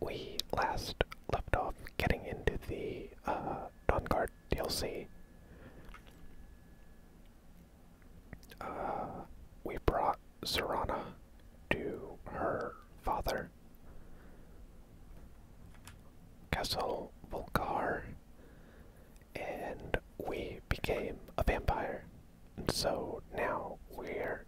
we last left off getting into the uh, DLC. Uh, we brought Serana to her father, Castle Volcar, and we became a vampire. And so now we're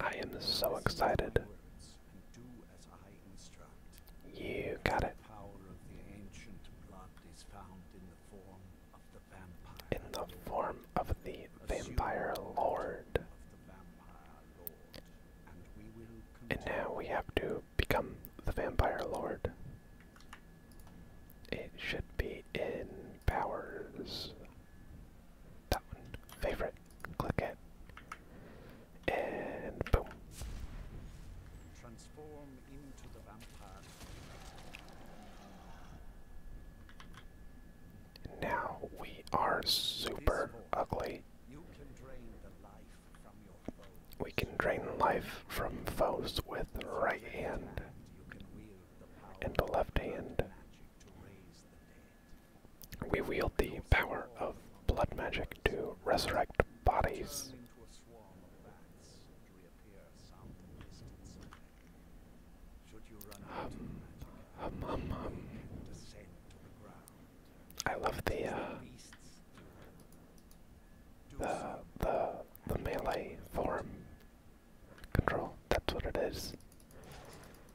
I am so excited. You got it. In the form of the vampire lord. And now we have to become the vampire lord. It should be in powers that one, favorite, click it, and boom. Now we are super ugly. can drain life from foes. We can drain life from foes with right hand and the left hand. We wield the power of blood magic to resurrect bodies. I love uh, the, the, the melee form control. That's what it is.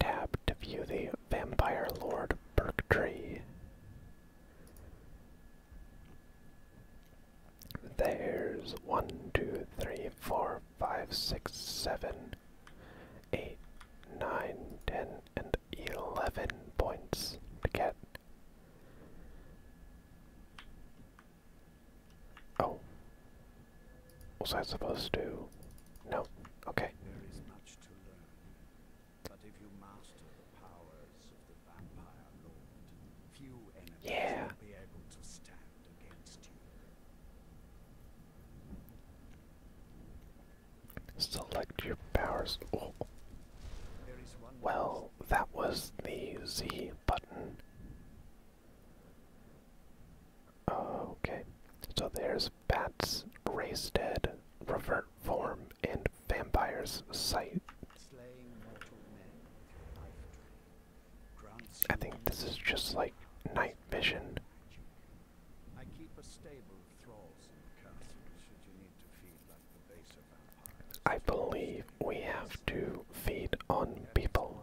Tab to view the Vampire Lord Birk Tree. There's one, two, three, four, five, six, seven, eight, nine, ten, and eleven points to get. Oh, was I supposed to? do? No. Okay. There is much to learn, but if you master the powers of the vampire lord, few enemies yeah. will be able to stand against you. Select your powers. Oh. Well, that was the Z button. Okay, so there's bats, race dead, revert form, and vampire's sight. I think this is just like night vision. I keep a stable of thralls in the base I believe we have to feed on people.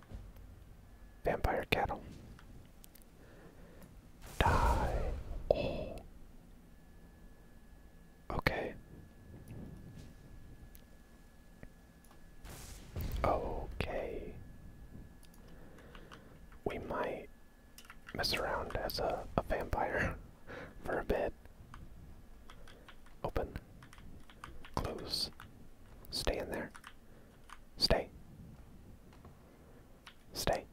Vampire cattle. Die. Oh. Okay. Okay. We might mess around as a vampire for a bit. Open. Close. Stay in there. Stay. Stay.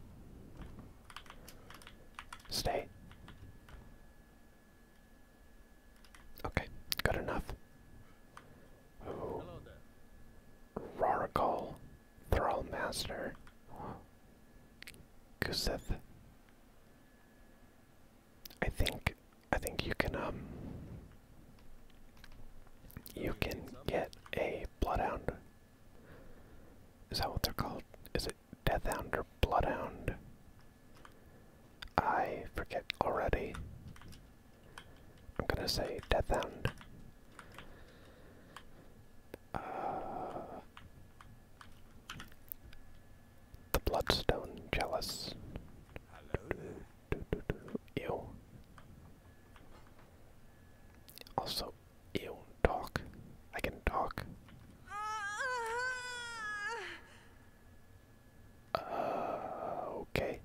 Stay. Okay, good enough. Ooh. Raracal, Thrall I think, I think you can, um, you can get a bloodhound. Is that what they're called? Is it deathhound or bloodhound? I forget already. I'm gonna say deathhound. Uh, the bloodstone jealous. Hello. Ew. Also, ew, talk. I can talk. Uh, okay.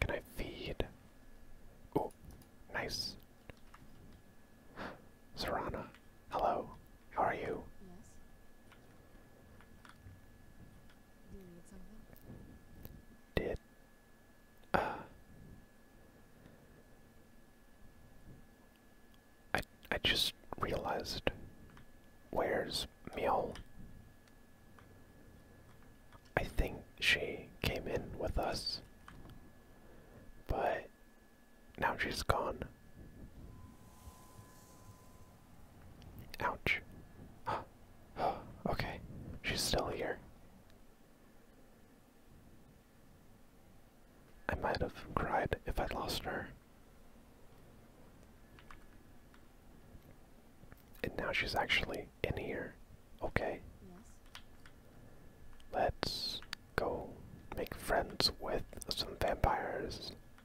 Can I feed? Oh, nice. Serana, hello. How are you? Did uh I I just realized where's Meow? I think she came in with us, but now she's gone. Ouch. okay, she's still here. I might have cried if I'd lost her. And now she's actually in here. Okay. Yes. Let's go make friends with some vampires.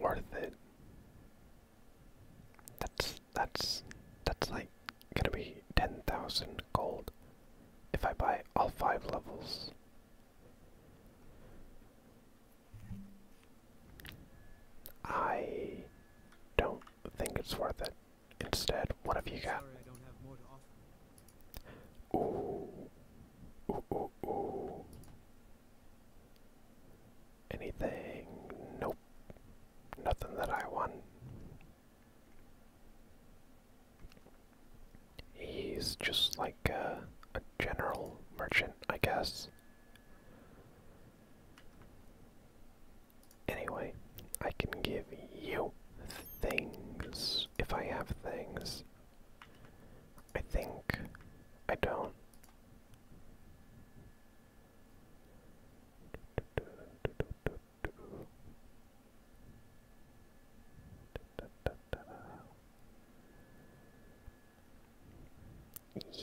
worth it. That's that's that's like gonna be ten thousand gold if I buy all five levels. I don't think it's worth it. Instead, what have you got? Anything? Nope. Nothing that I want. He's just like a general merchant, I guess. Anyway, I can give you things if I have things. I think I don't.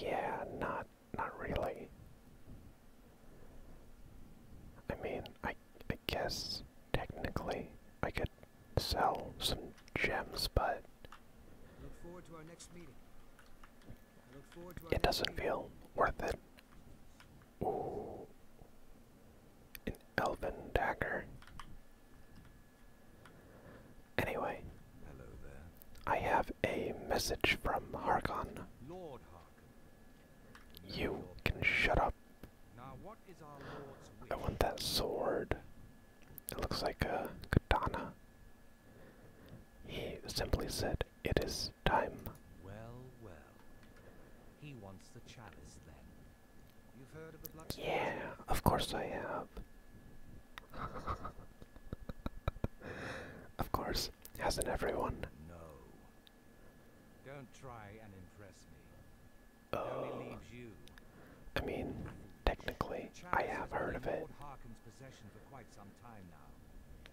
Yeah, not not really. I mean, I I guess technically I could sell some gems, but Look forward to our next meeting. It doesn't feel worth it. Ooh. An elven dagger. Anyway, I have a message from Harkon. You can shut up. Now what is our Lord's I want that sword. It looks like a katana. He simply said, It is time. Well, well. He wants the chalice then. Yeah, of course I have. of course, as not everyone? No. Don't try and impress me. Oh. only leaves you. I mean, Technically, I have heard of it.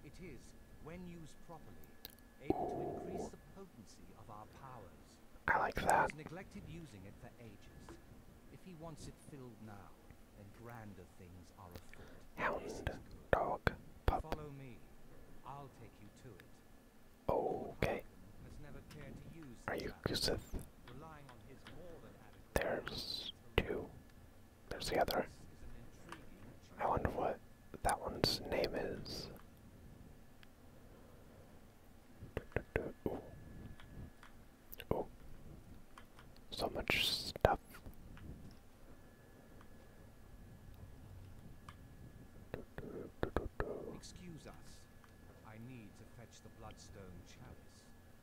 It is, when used properly, able to increase the potency of our powers. I like that. He's neglected using it for ages. If he wants it filled now, then grander things are afoot. Hound, dog, pup. Follow me. I'll take you to it. Okay. Are you Guseth? There's two. There's the other. I wonder what that one's name is. Ooh. Ooh. So much stuff. Excuse us. I need to fetch the bloodstone chalice.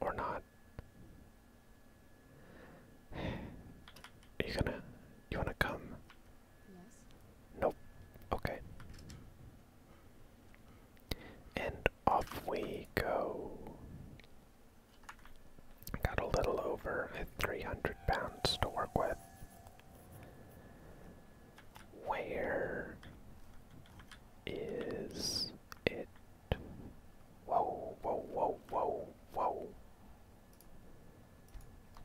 Or not. you gonna you wanna come? Yes. Nope. Okay. And off we go. Got a little over 300 pounds to work with. Where is it Whoa, whoa, whoa, whoa, whoa.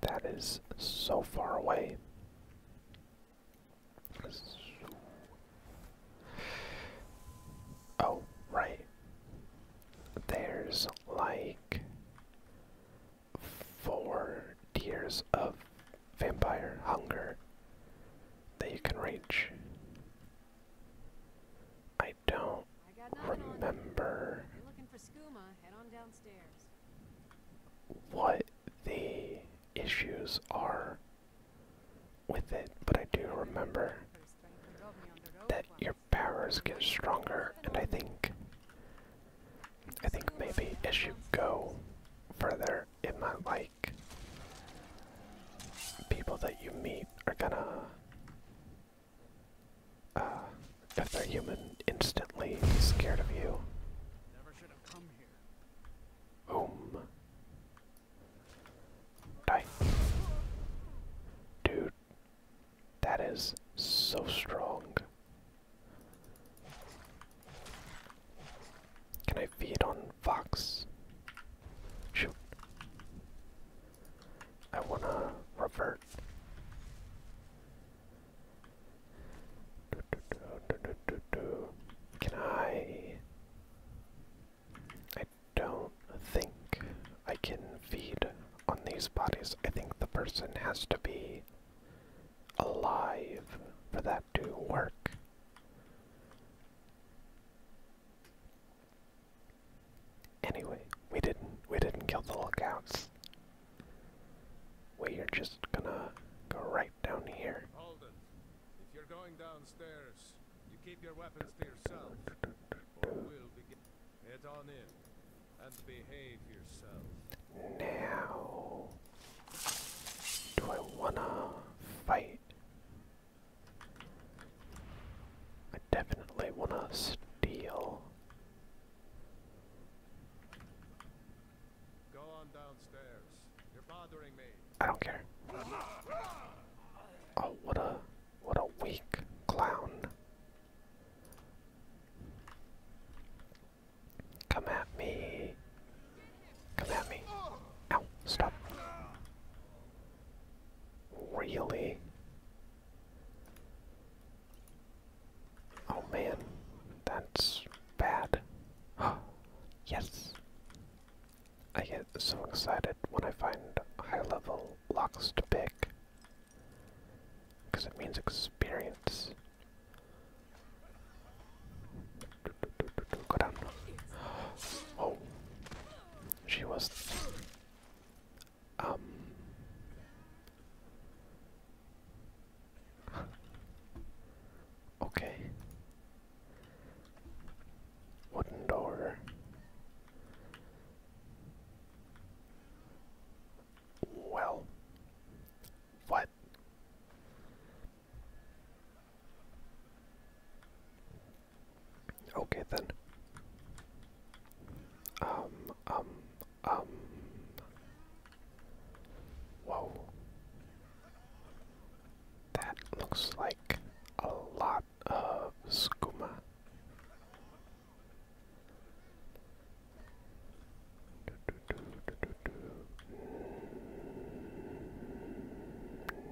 That is so far away. Oh, right. There's like four tiers of vampire hunger that you can reach. I don't remember what the issues are with it, but I do remember that your powers get stronger, and I think, I think maybe as you go further, it might like people that you meet are gonna uh, if they're human instantly be scared of you. Boom. Dude, that is so strong. Can I feed on Fox. Shoot. I wanna revert. Can I? I don't think I can feed on these bodies. I think the person has to be alive for that to work. Anyway, we didn't we didn't kill the lookouts. We're just gonna go right down here. Holden, if you're going downstairs, you keep your weapons to yourself. Or we'll begin. Head on in and behave yourself. Now, do I wanna fight I definitely want to steal. I don't care. Oh, what a what a weak clown. Come at me. Come at me. Ow, stop. Really? Oh man, that's bad. yes! I get so excited when I find high level locks to pick. Because it means experience. Oh. She was um Okay. Wooden door. Well, what? Okay then. Um, um, um. Whoa. That looks like a lot of skooma.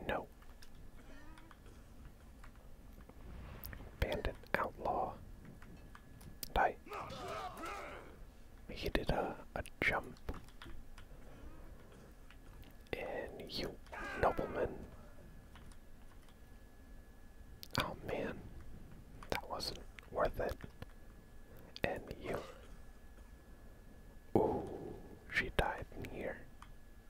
No. Bandit outlaw. Die. He did a, jump. And you nobleman. Oh man. That wasn't worth it. And you. Ooh, she died in here.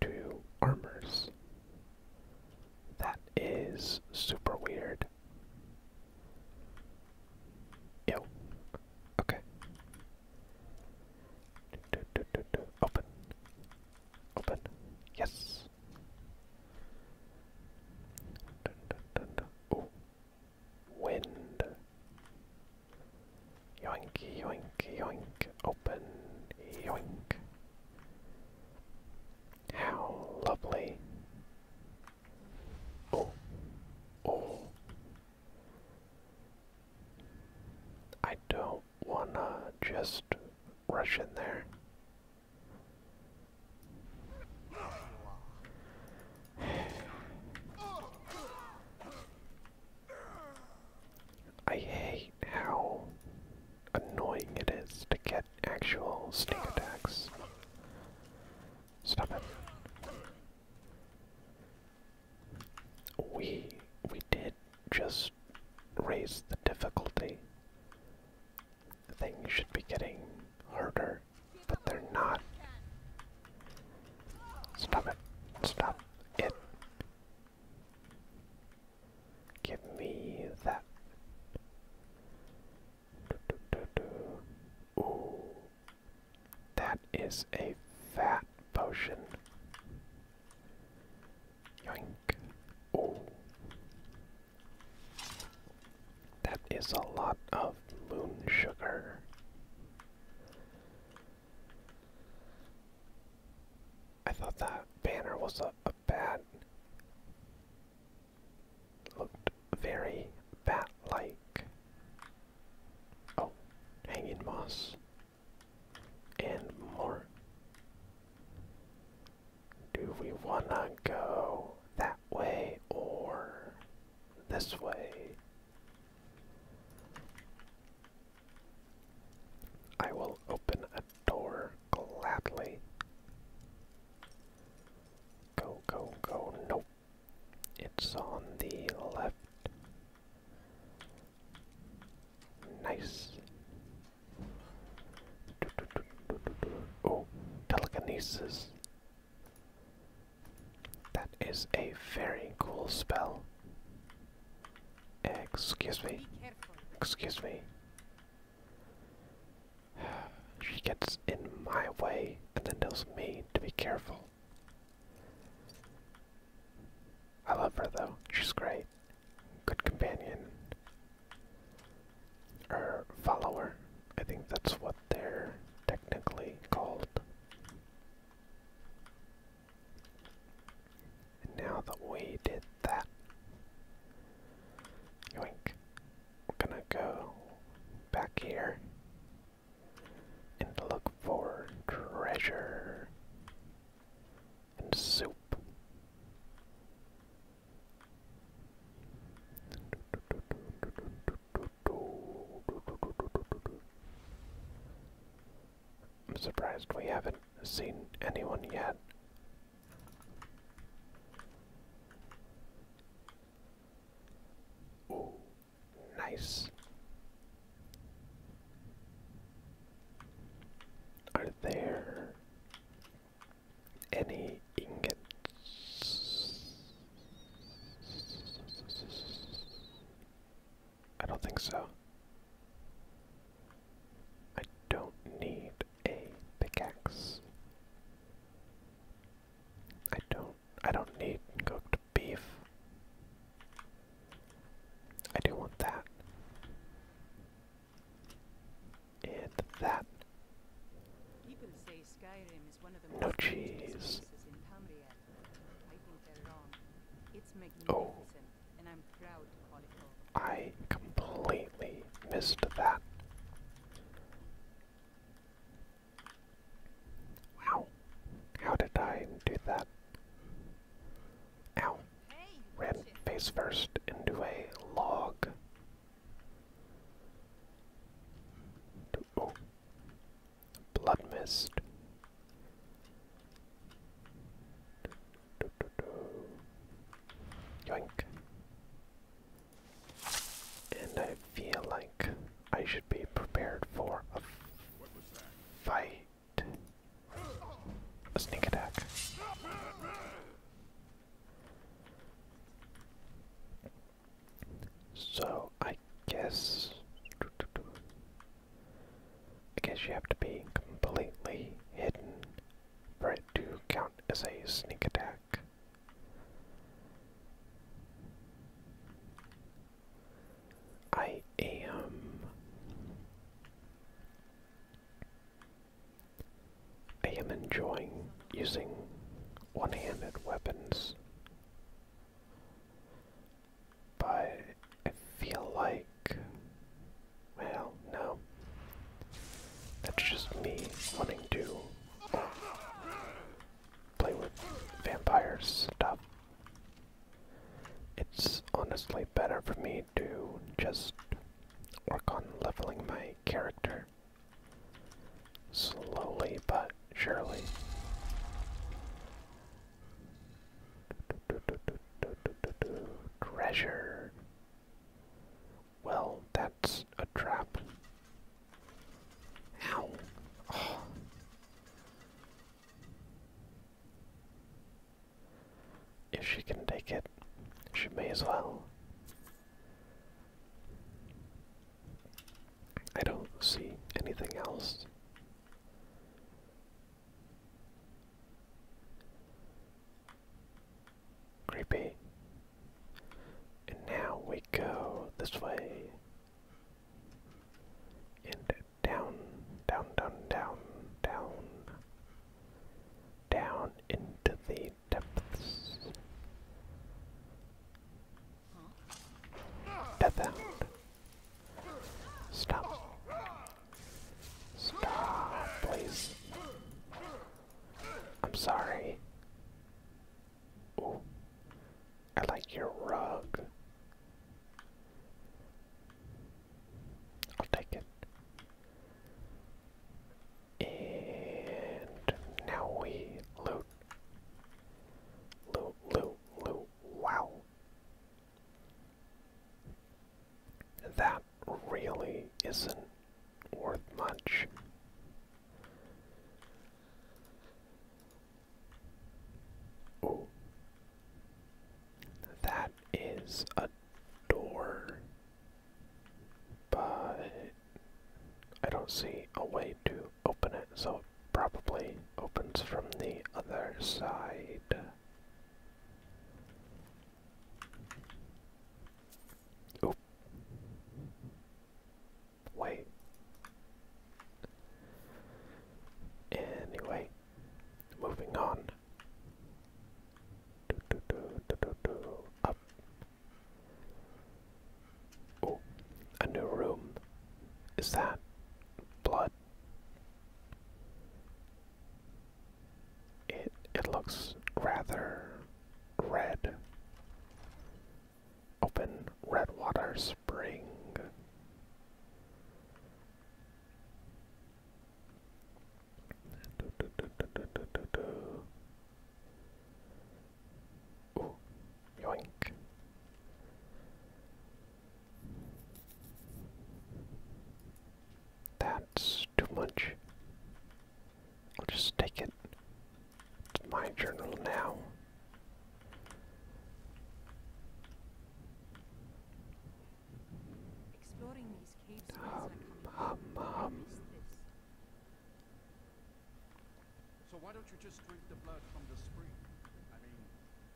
to armors. That is super weird. Ew. Okay. Do, do, do, do. Open. Open. Yes. Dun, dun, dun, dun. Wind. Yoink, yoink, yoink, open, yoink. How lovely. Oh, oh. I don't wanna just rush in there. I hate how annoying it is to get actual sneak attacks. Stop it. We we did just raise the difficulty. Things should be getting harder, but they're not. Stop it. Stop it. Give me that. Do, do, do, do. Ooh. That is a fat potion. Yoink. Ooh. That is a lot of moon sugar. I thought that banner was a, bat. Looked very bat like. Oh, hanging moss. And more. Do we wanna go that way or this way? I will open a door gladly. Go, go, go. Nope. It's on the left. Nice. Oh, telekinesis. That is a very cool spell. Excuse me. Excuse me. She gets in my way and then tells me to be careful. I love her though. She's great. Good companion. Or follower. I think that's what they're technically called. And now that we did that, yoink, we're gonna go back here and look for treasure and soup. I'm surprised we haven't seen anyone yet. Ooh, nice. Are there any ingots? I don't think so. I don't need a pickaxe. I don't I don't need cooked beef. I do want that. And that. no cheese. It's magnificent. Oh and I'm proud to call it home. I completely missed that. Wow. How did I do that? Ow. Hey, face first into a log. Oh. Blood mist. And I feel like I should be prepared for a fight. A sneak attack. So I guess I guess you have to be completely hidden for it to count as a sneak attack. I am. I am enjoying using one handed weapons by I feel like. Well, no. That's just me wanting to play with vampire stuff. It's honestly better for me to just work on leveling my character. Slowly but surely. Treasure. Well, that's a trap. Ow. If she can take it, she may as well. I don't see anything else. Creepy. And now we go this way. And down, down, down, down, down. Down into the depths. Death Hound. Stop. Stop, please. I'm sorry. Ooh. I like your rug. I'll take it. And now we loot. Loot, loot, loot. Wow. That really isn't worth much. That is a door. But I don't see a way to open it, so probably opens from the other side. Oh. Wait. Anyway, moving on. Do, do, do, do, do, do. Up. Oh, a new room. Is that blood? it it looks rather red. Open Redwater Spring. That's too much. I'll just take it to my journal now. Exploring these caves So why don't you just drink the blood from the spring? I mean,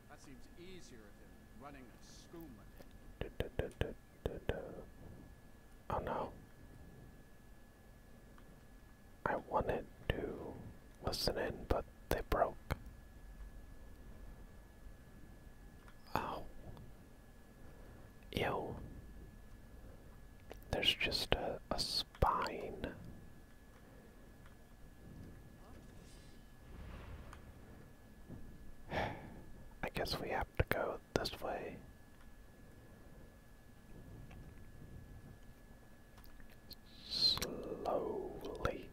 that seems easier than running a schooner. Oh no. I wanted to listen in, but they broke. Oh. Ew. There's just a, a spine. I guess we have to go this way. Slowly.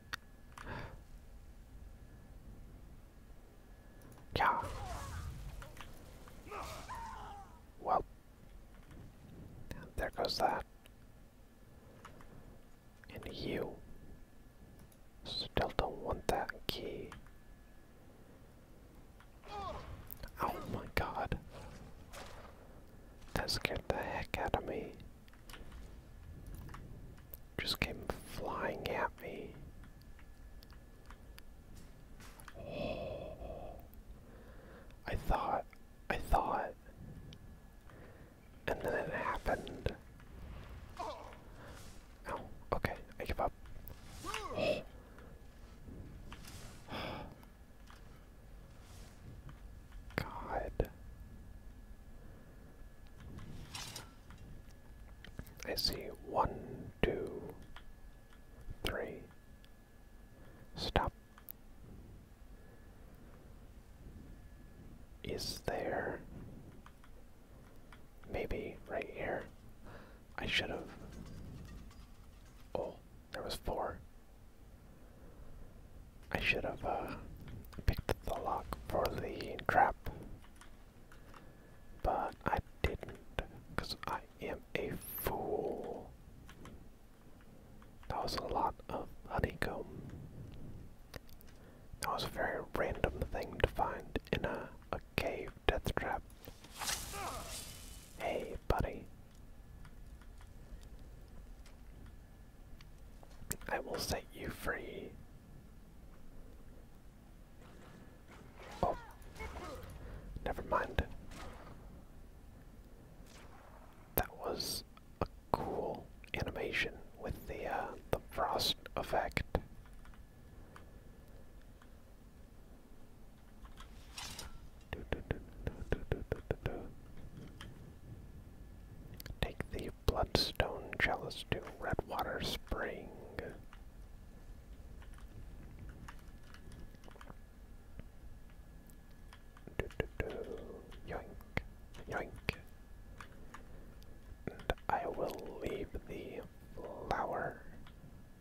Yeah. Well, there goes that. And you. Still don't want that key. Oh my god. That scared the heck out of me. Just came flying at me. Oh. I thought, I thought, and then it happened. Oh, okay. I give up. God. I see one, two, three. Stop. Is there Maybe right here. I should have. Oh, there was four. I should have uh, picked the lock for the trap. But I didn't, because I am a fool. That was a lot of honeycomb. That was a very random thing to find in a cave death trap. Hey, buddy. I will set you free. Oh. Never mind. That was a cool animation with the uh, the frost effect. Take the Bloodstone Chalice to Redwater Spring. Yoink, yoink. And I will leave the flower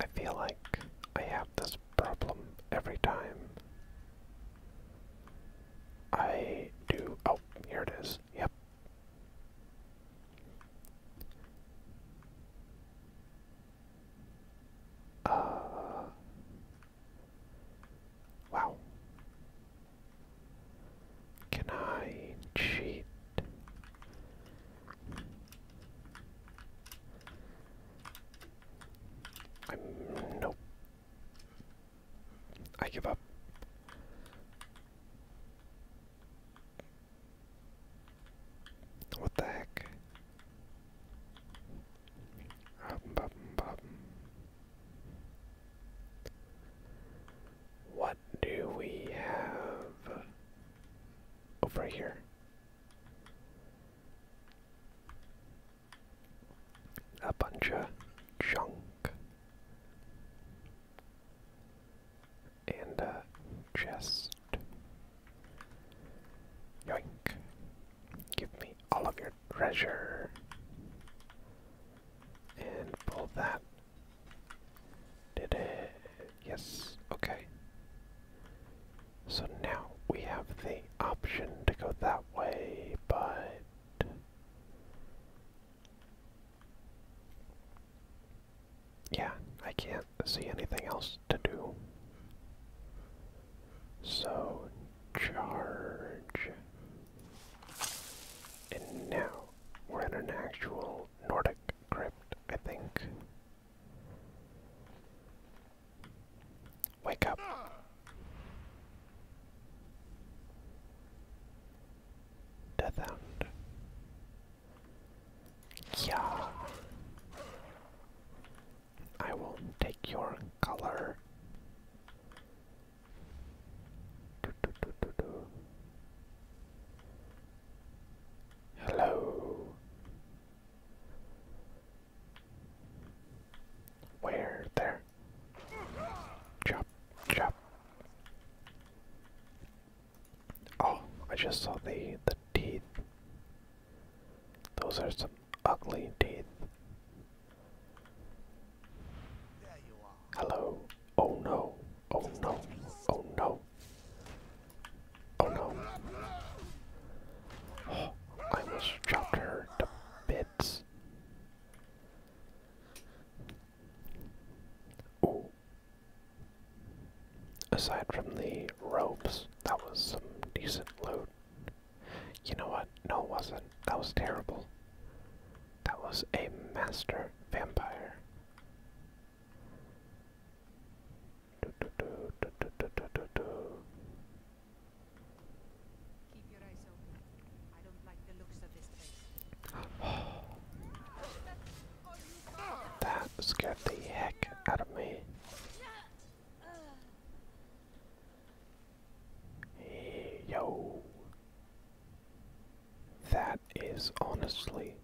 I feel like I have this problem every time. I do. Oh, here it is. Yep. Uh, Wow. Can I cheat? I'm nope. I give up. What the heck? What do we have over here? A bunch of junk and a chest. Yoink. Give me all of your treasure. And pull that. Did it? Yes. Okay. So now we have the option to go that way, but. Yeah, I can't see anything else to do. So, charge. And now we're in an actual Nordic crypt, I think. Wake up. Death Hound. Yeah. I will take your color. Hello. Where there? Chop, chop. Oh, I just saw the the teeth. Those are some ugly teeth. Hello. Oh no. Oh no. Oh no. Oh no. Oh, I almost chopped her to bits. Ooh. Aside from the ropes, that was some decent loot. You know what? No, it wasn't. That was terrible. That was a master vampire. that scared the heck out of me. Yo. That is honestly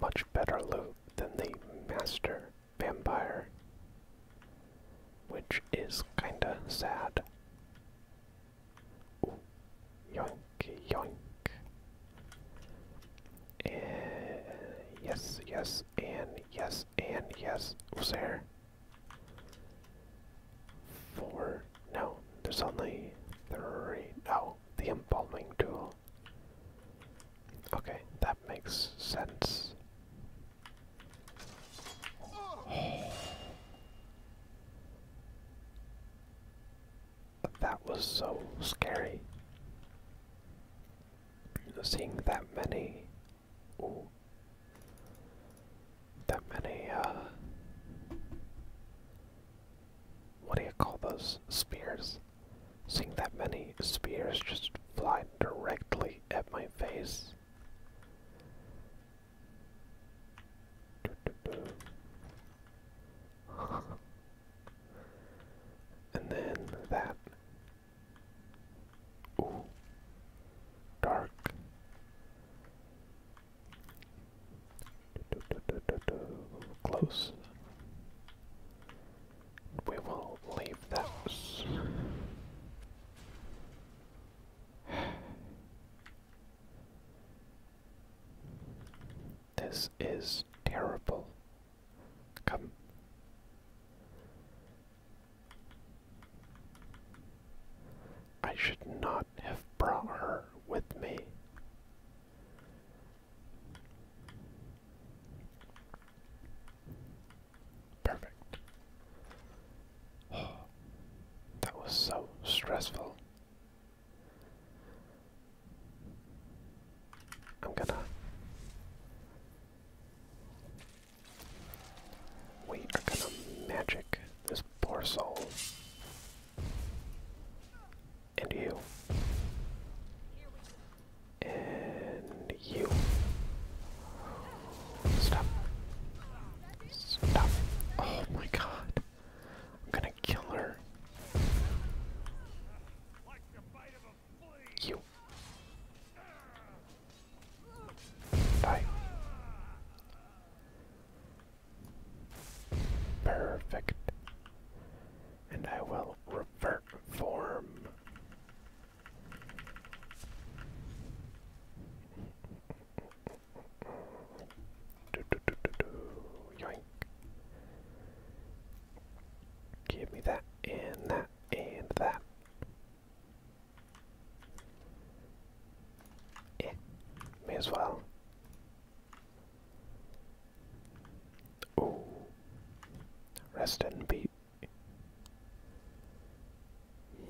much better loot than the Master Vampire, which is kinda sad. Ooh, yoink, yoink. Eh, yes, yes, and yes, and yes. Was there? Four. No, there's only three. No, oh, the embalming tool. Okay, that makes sense. That was so scary. Seeing that many. Ooh that many, uh, what do you call those spears? Seeing that many spears just fly directly at my face. and then that. Ooh. Dark. Close. We will leave those. This is terrible. Come. I should not have brought her with me. Perfect. that was so stressful. I'm gonna. We are gonna magic this Poor soul. And you. And you. Stop. Stop. Oh my god. I'm gonna kill her. You. Die. Perfect. And I will revert form. Do, do, do, do, do. Yoink. Give me that and that and that. Eh, may as well. Oh, rest and be.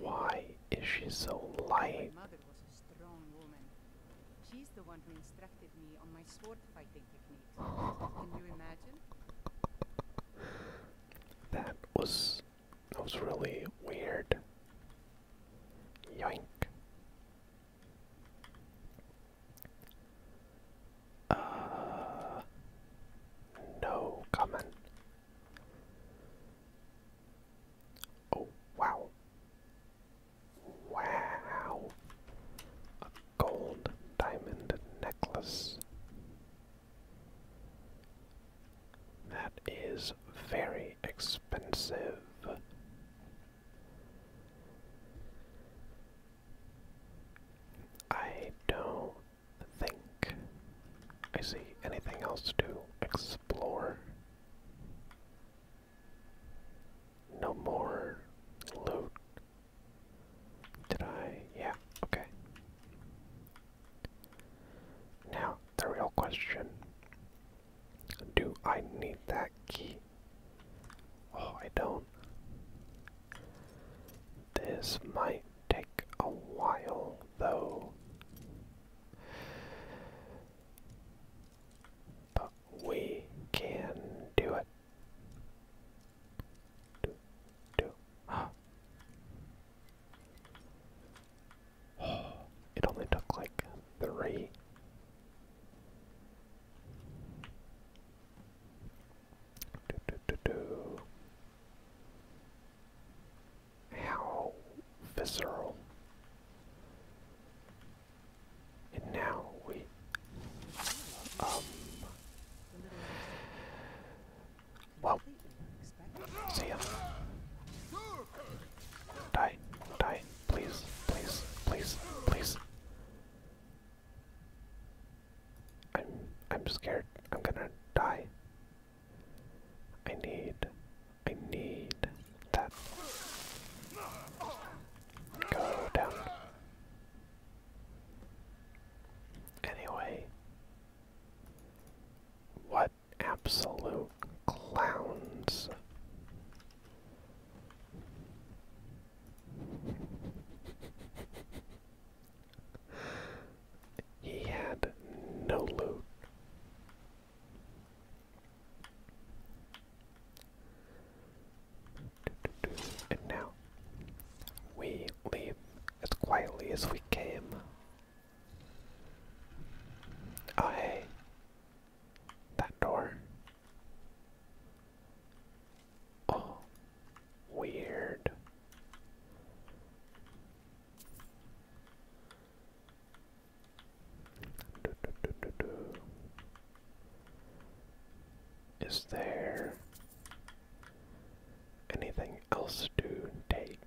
Why is she so light? She's the one who instructed me on my sword fighting techniques. that was that was really weird. Yoink. Uh, no comment. Oh, wow. Wow. A gold diamond necklace. That is very expensive. I don't think I see anything else to explore. No more loot. Did I? Yeah, okay. Now, the real question do I need that key? Oh, I don't. This might take a while, though. But we can do it. Do, do. it only took like three. Do, How visceral. And now we um see ya. Die, die, please, please, please, please. I'm I'm scared. I'm gonna die. I need I need that. Go down. Anyway. What? absolute clowns. he had no loot. And now we leave as quietly as we came. Oh, that door. Oh, weird. Is there anything else to take?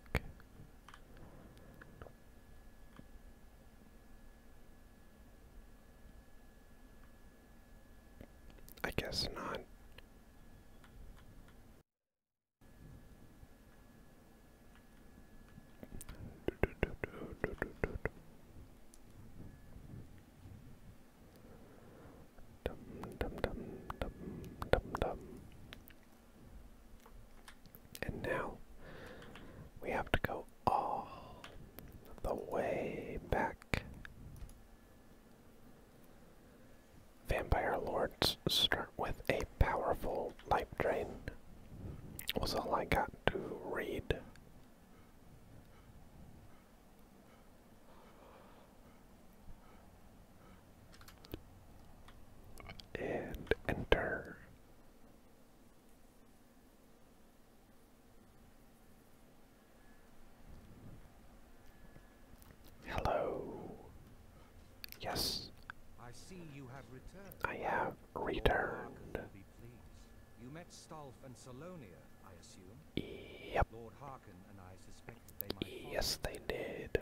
I guess not. And now we have to go all the way back. Vampire Lords start with a powerful life drain, was all I got to read. And enter. Hello. Yes. I see you have returned. I have returned. You met Stolf and Salonia, I assume. Yep. Yes, they did.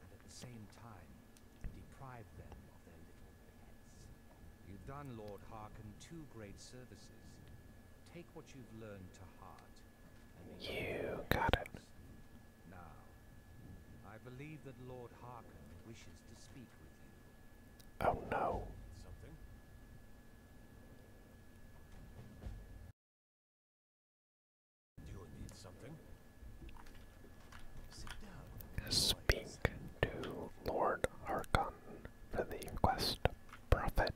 and at the same time deprive them of their little heads. You've done Lord Harkin two great services. Take what you've learned to heart and You got it. Now, I believe that Lord Harkin wishes to speak with you. Oh no. Speak to Lord Harkon for the quest prophet.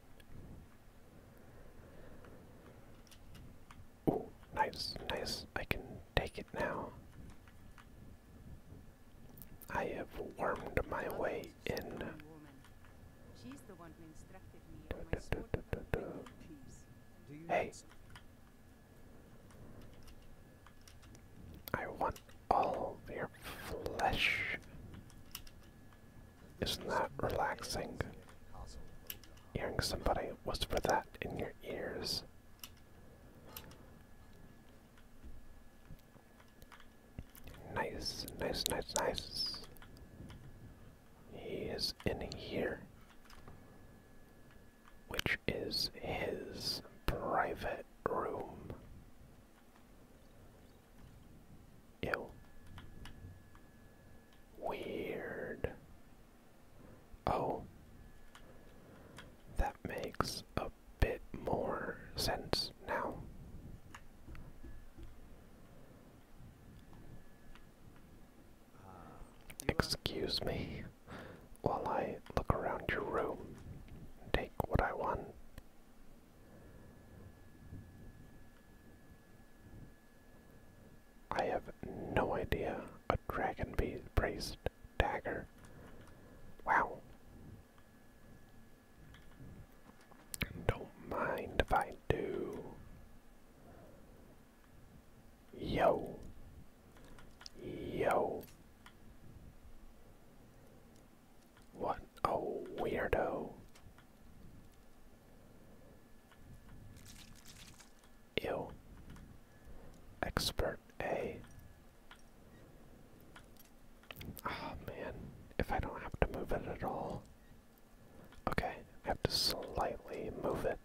Ooh, nice, nice. I can take it now. I have wormed my way in. Hey. I want all of your flesh. Isn't that relaxing? Hearing somebody whisper that in your ears. Nice, nice, nice, nice. He is in here which is his private room. Ew. Weird. Oh. That makes a bit more sense now. Excuse me while I look around your room and take what I want. I have no idea a dragon braced dagger. Wow. Don't mind if I do. Yo, Yo. What a weirdo. Ew. Expert A. Oh man, if I don't have to move it at all. Okay, I have to slightly move it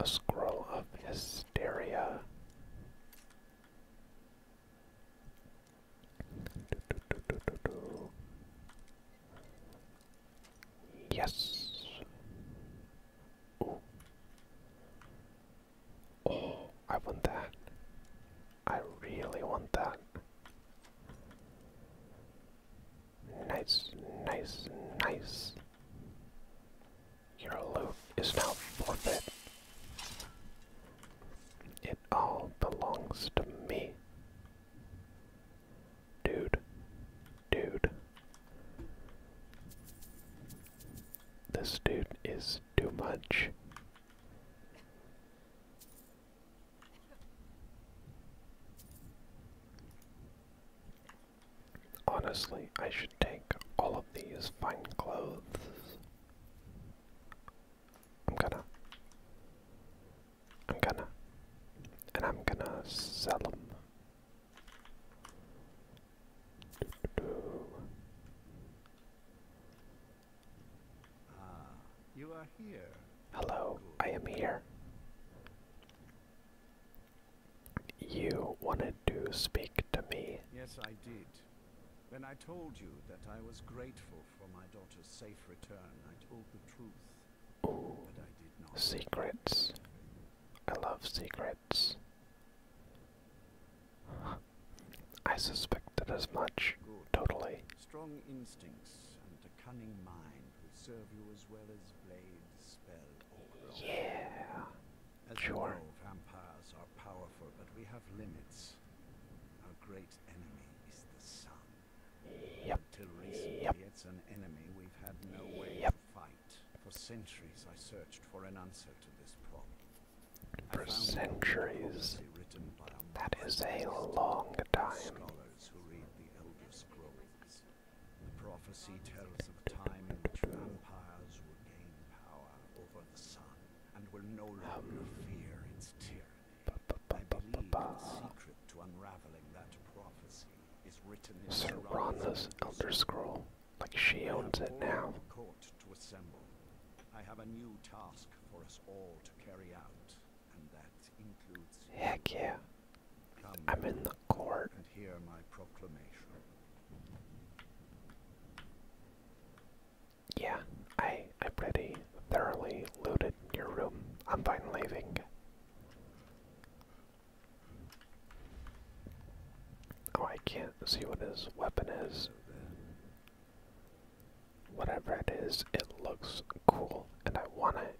a scroll of hysteria. Yes. Oh, I want that. I really want that. Nice, nice, nice. Your loot is now forfeit. It all belongs to me. Dude, dude. This dude is too much. Honestly, I should take all of these fine clothes. I'm gonna. I'm gonna. And I'm gonna sell them. Ah, Hello, I am here. You wanted to speak to me. Yes, I did. When I told you that I was grateful for my daughter's safe return, I told the truth. Ooh, but I did not. Secrets. I love secrets. I suspected as much. Totally. Strong instincts and a cunning mind will serve you as well as blades, spells. Yeah. As sure. vampires are powerful, but we have limits. Our great enemy is the sun. Yep. Until recently, yep. it's an enemy we've had no way to fight. For centuries, I searched for an answer to this problem. For centuries. That is a long time. The prophecy tells of a time in which vampires will gain power over the sun and will no longer fear its tyranny. I believe the secret to unraveling that prophecy is written in Serana's Elder Scroll. Like she owns it now. I have a new task for us all to carry out, and that includes. Heck yeah. I'm in the court. And hear my proclamation. Yeah, I I pretty thoroughly looted your room. I'm fine leaving. Oh, I can't see what his weapon is. Whatever it is, it looks cool, and I want it.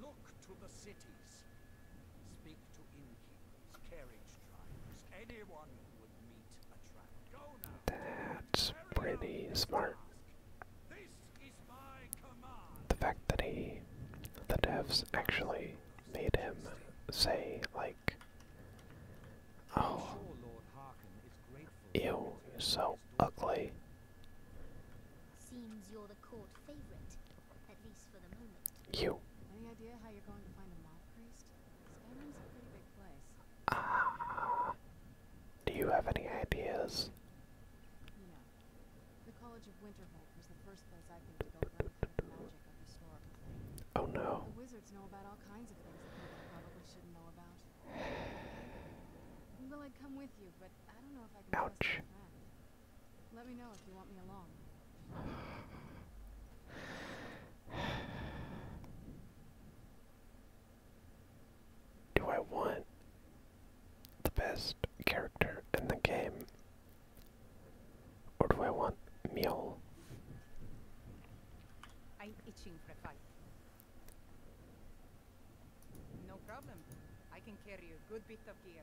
Look to the cities. Speak to innkeepers, anyone who would meet a traveler. Go now. That's pretty smart. The fact that he, the devs actually made him say, like, oh, ew, you're so ugly. Seems you're the court favorite, at least for the moment. You. Any idea how you're going to find a mob priest? Skyrim's a pretty big place. Ah. do you have any ideas? Oh no. The wizards know about all kinds of things that probably shouldn't know about. i come with you, but I don't know if I can Ouch. Let me know if you want me along. Do I want the best character in the game? Or do I want Mule? I'm itching for No problem. I can carry a good bit of gear.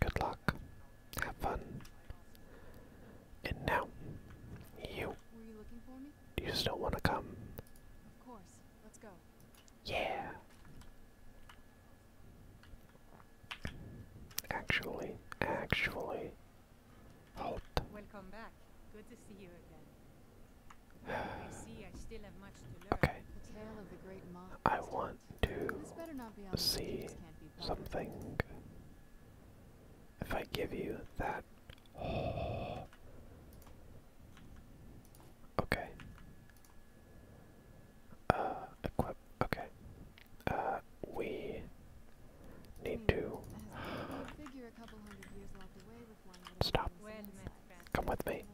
Good luck. Have fun. And now, you. Were you looking for me? Do you still want to come? Of course. Let's go. Yeah. Actually, actually. Halt. Welcome back. Good to see you again. I see I still have much to learn. Okay. The tale I want to see something. If I give you that. Okay. Uh, equip. Okay. Uh, we need to. Stop. Come with me.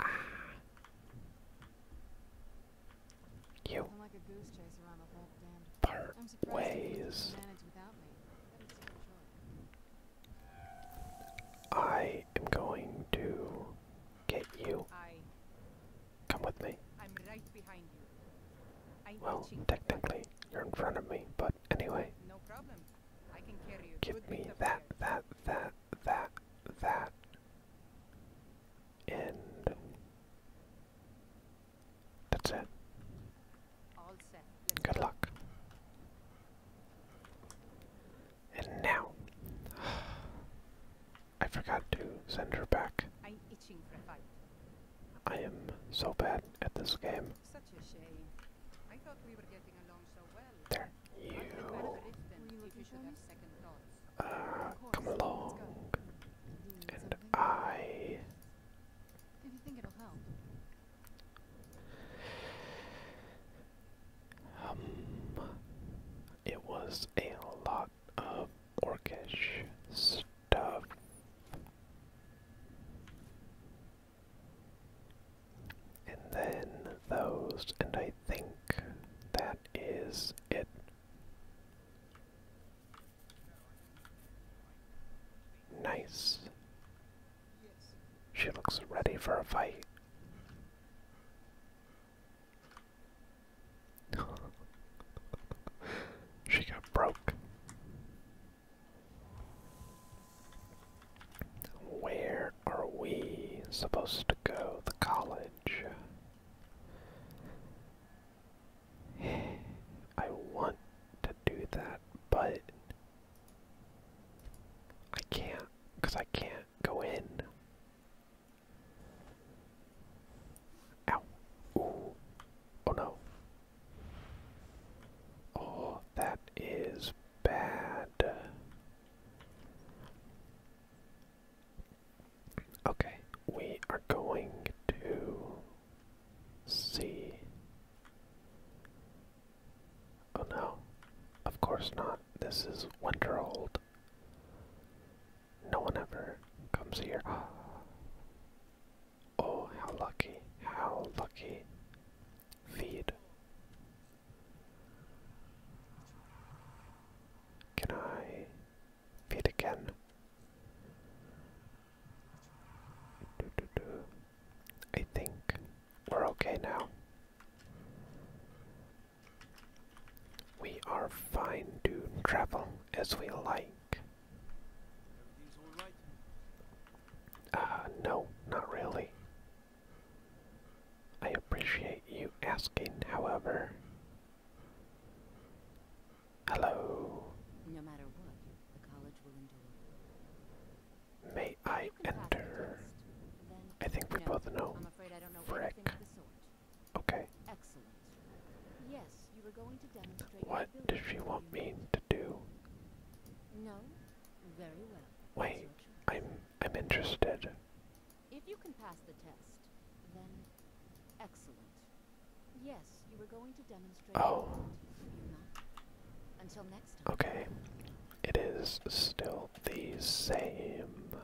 Ah. You. I'm like ways. I am going to get you. I Come with me. am right behind you. well, technically, you're in front of me, but anyway. No problem. I can carry you. Give me that, that, that, that, that, and that's it. All set. Good luck. And now, I forgot to send her back. I'm itching for a fight. I am so bad at this game. There. You. Uh, come along. And I. Um, it was a lot of orcish stuff and then those, and I think that is it. Nice. She looks ready for a fight. she got broke. Where are we supposed to go? to college. I want to do that, but I can't because I can't go in. Ow. Ooh. Oh no. Oh, that is bad. Okay, we are going to see. Oh no, of course not. This is winter old. No one ever comes here. Ah. Oh, how lucky, how lucky. Feed. Can I feed again? I think we're okay now. We are fine to travel as we like. Uh, no, not really. I appreciate you asking, however. Hello. No matter what, the college will endure. May I enter? I think we both know. i Okay. Excellent. Yes, you were going to demonstrate. What does she want me to do? No. Very well. Wait, I'm I'm interested. If you can pass the test, then excellent. Yes, you were going to demonstrate. Oh. Until next time. Okay. It is still the same.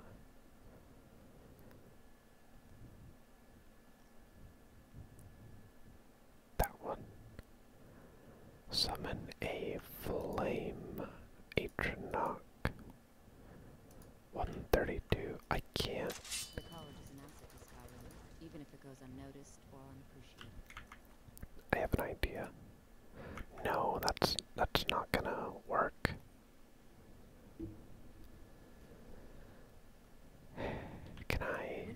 That one. Summon a flame, a Atronach. 132. I can't. The college is an asset to Skyrim, even if it goes unnoticed or unappreciated. I have an idea. No, that's that's not gonna work. Can I?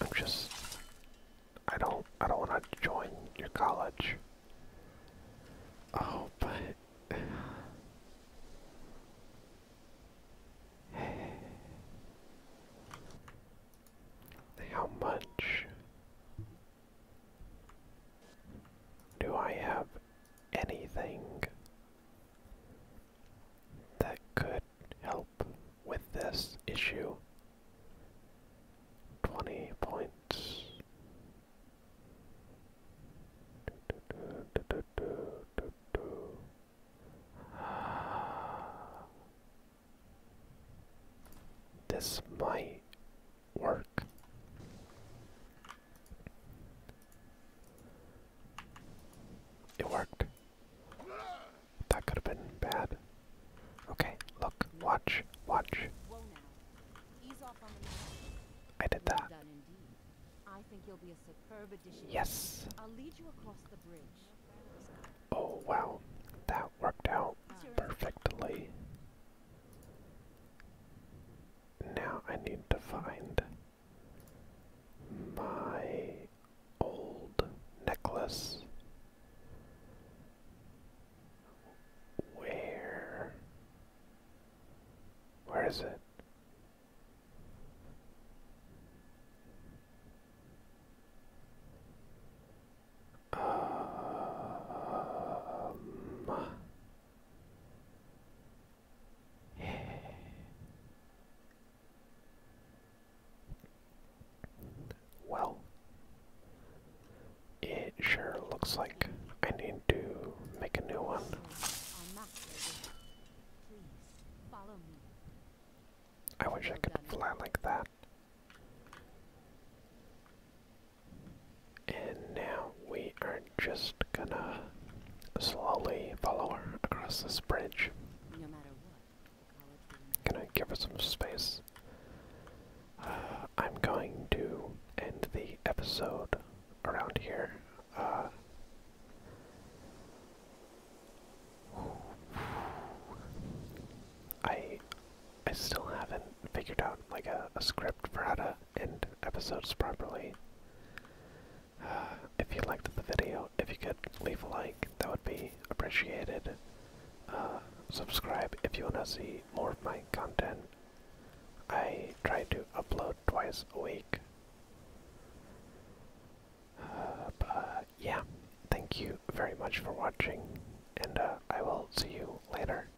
I'm just I don't I don't wanna join your college. Oh but How much do I have anything that could help with this issue. 20 points. This might work. It worked. That could have been bad. Okay, look, watch, watch. I did that. Yes. Oh wow, that worked out perfectly. Now I need to find my old necklace. Where? Where is it? Um, well, it sure looks like I need to make a new one. I wish I could fly like that. And now we are just gonna slowly follow her across this bridge. Can I give us some space? Uh, I'm going to end the episode around here. Uh, I I still haven't figured out like a, script for how to end episodes properly. Uh, if you liked the video, if you could leave a like, that would be appreciated. Uh, subscribe if you wanna see more of my content. I try to upload twice a week. Uh, but yeah, thank you very much for watching, and uh, I will see you later.